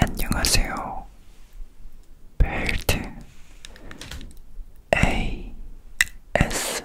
안녕하세요. 벨트 A S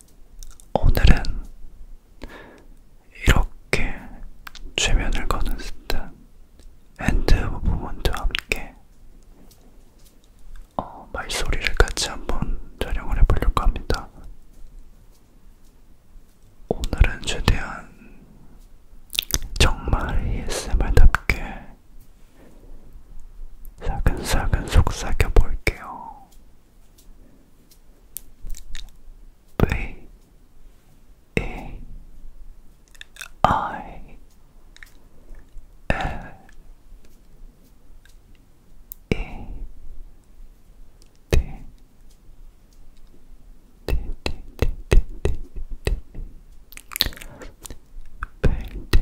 오늘은 이렇게 최면을 거는 듯한 핸드 무브먼트와 함께 어, 말소리를 같이 한번 촬영을 해보려고 합니다. 오늘은 최대한 정말 ASMR답게 사근사근 속삭여 볼게요. B E I L E T T T T T T T Painter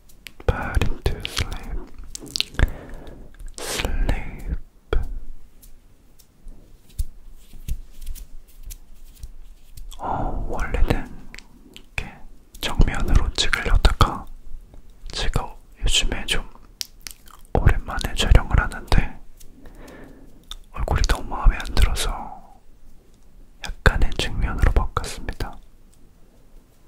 But into sleep, sleep. 어, 원래는 이렇게 정면으로 찍으려다가 제가 요즘에 좀 오랜만에 촬영을 하는데 얼굴이 너무 마음에 안 들어서 약간의 측면으로 바꿨습니다.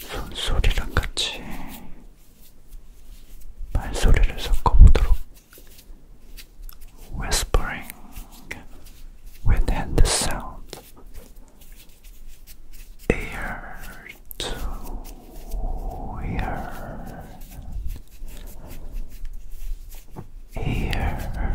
손소리랑 같이 말소리를 섞어보도록 Whispering with hand sound Ear to ear Ear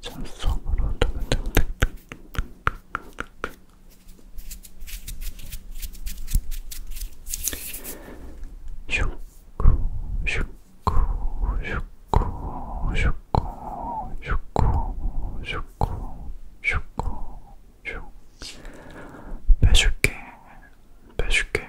찬성으로 슉고 슉고 슉고 슉고 슉고 슉고 슉고 슉 빼줄게 빼줄게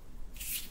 됐겠어.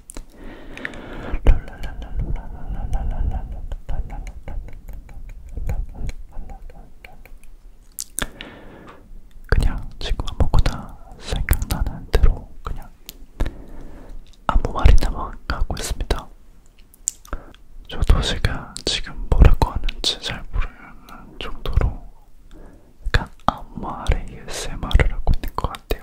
그냥 지금 아무거나 생각나는 대로 그냥 아무 말이나 막 하고 있습니다. 저도 제가 지금 뭐라고 하는지 잘 모르는 정도로 약간 아무 말에 ASMR을 하고 있는 것 같아요.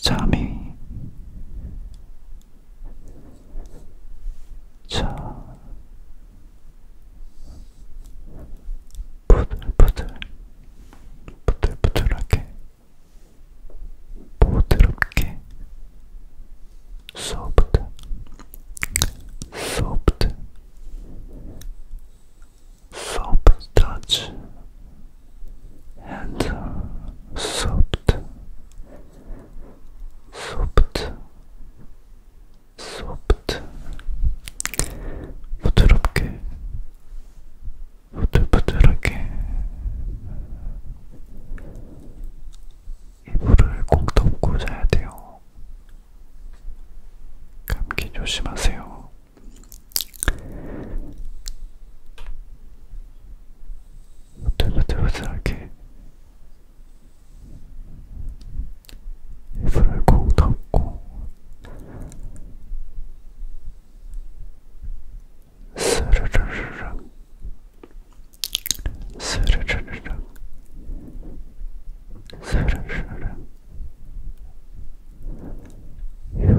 잠이 자 부들부들 부들부들하게 부드럽게 소프트 소프트 소프트 터치 and soft soft 소프트 부드럽게 부들부들하게 이불을 꼭 덮고 자야 돼요. 감기 조심하세요. 부들부들부들하게 입술을 꼭 덮고 스르르르릉 스르르르릉 스르르르릉 휴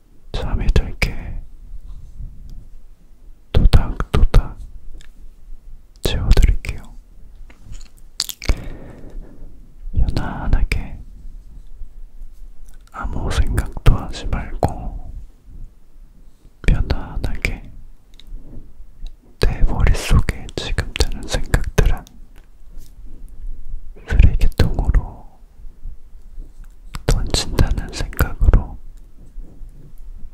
잠이 들게 도닥도닥 재워드릴게요. 편안하게 아무 생각도 하지 말고 편안하게 내 머릿속에 지금 드는 생각들은 쓰레기통으로 어, 던진다는 생각으로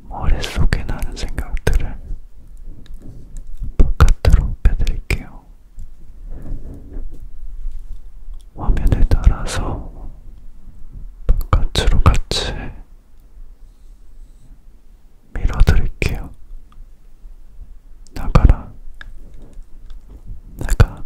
머릿속에 나는 생각들을 바깥으로 빼드릴게요. 화면에 따라서 바깥으로 같이 밀어드릴게요. 나가라. 나가.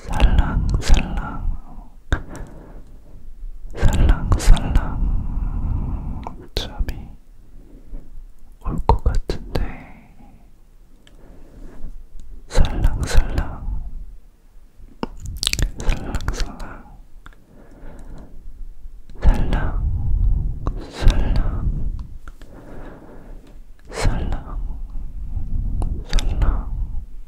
살랑살랑 살랑살랑 잠이 올 것 같은데 살랑살랑 살랑살랑 살랑살랑 살랑살랑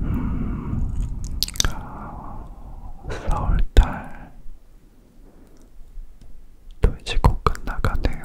음, 어, 4월달 또 이제 곧 끝나가네요.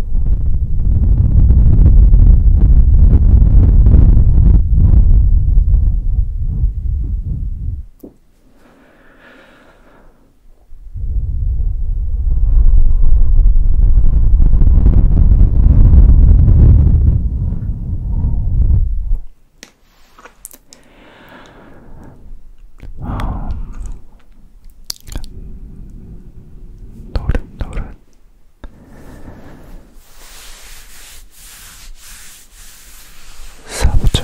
아, 노릇노릇 사부정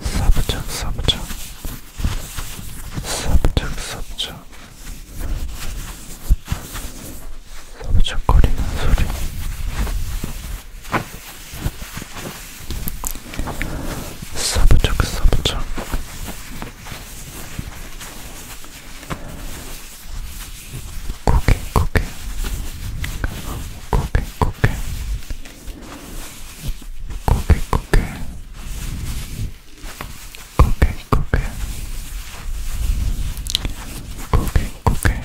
사부작 사부작 사부작 사부작 사부작거리는 소리 사부작 사부작 고개 고개 고개 고개 고개 고개 고개 고개 고개 고개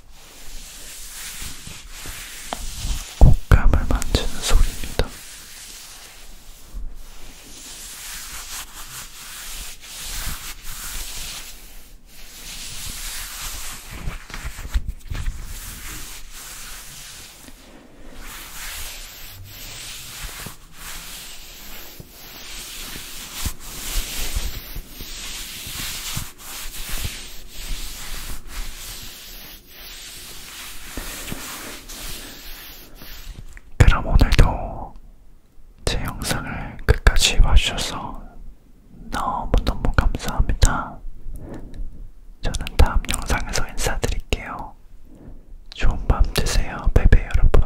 곶감을 만지는 소리입니다. 그럼 오늘도 제 영상을 끝까지 봐주셔서 너무너무 감사합니다. 저는 다음 영상에서 인사드릴게요. 좋은 밤 되세요, 베베 여러분.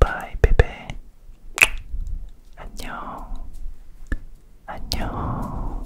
바이 베베. 안녕. 안녕.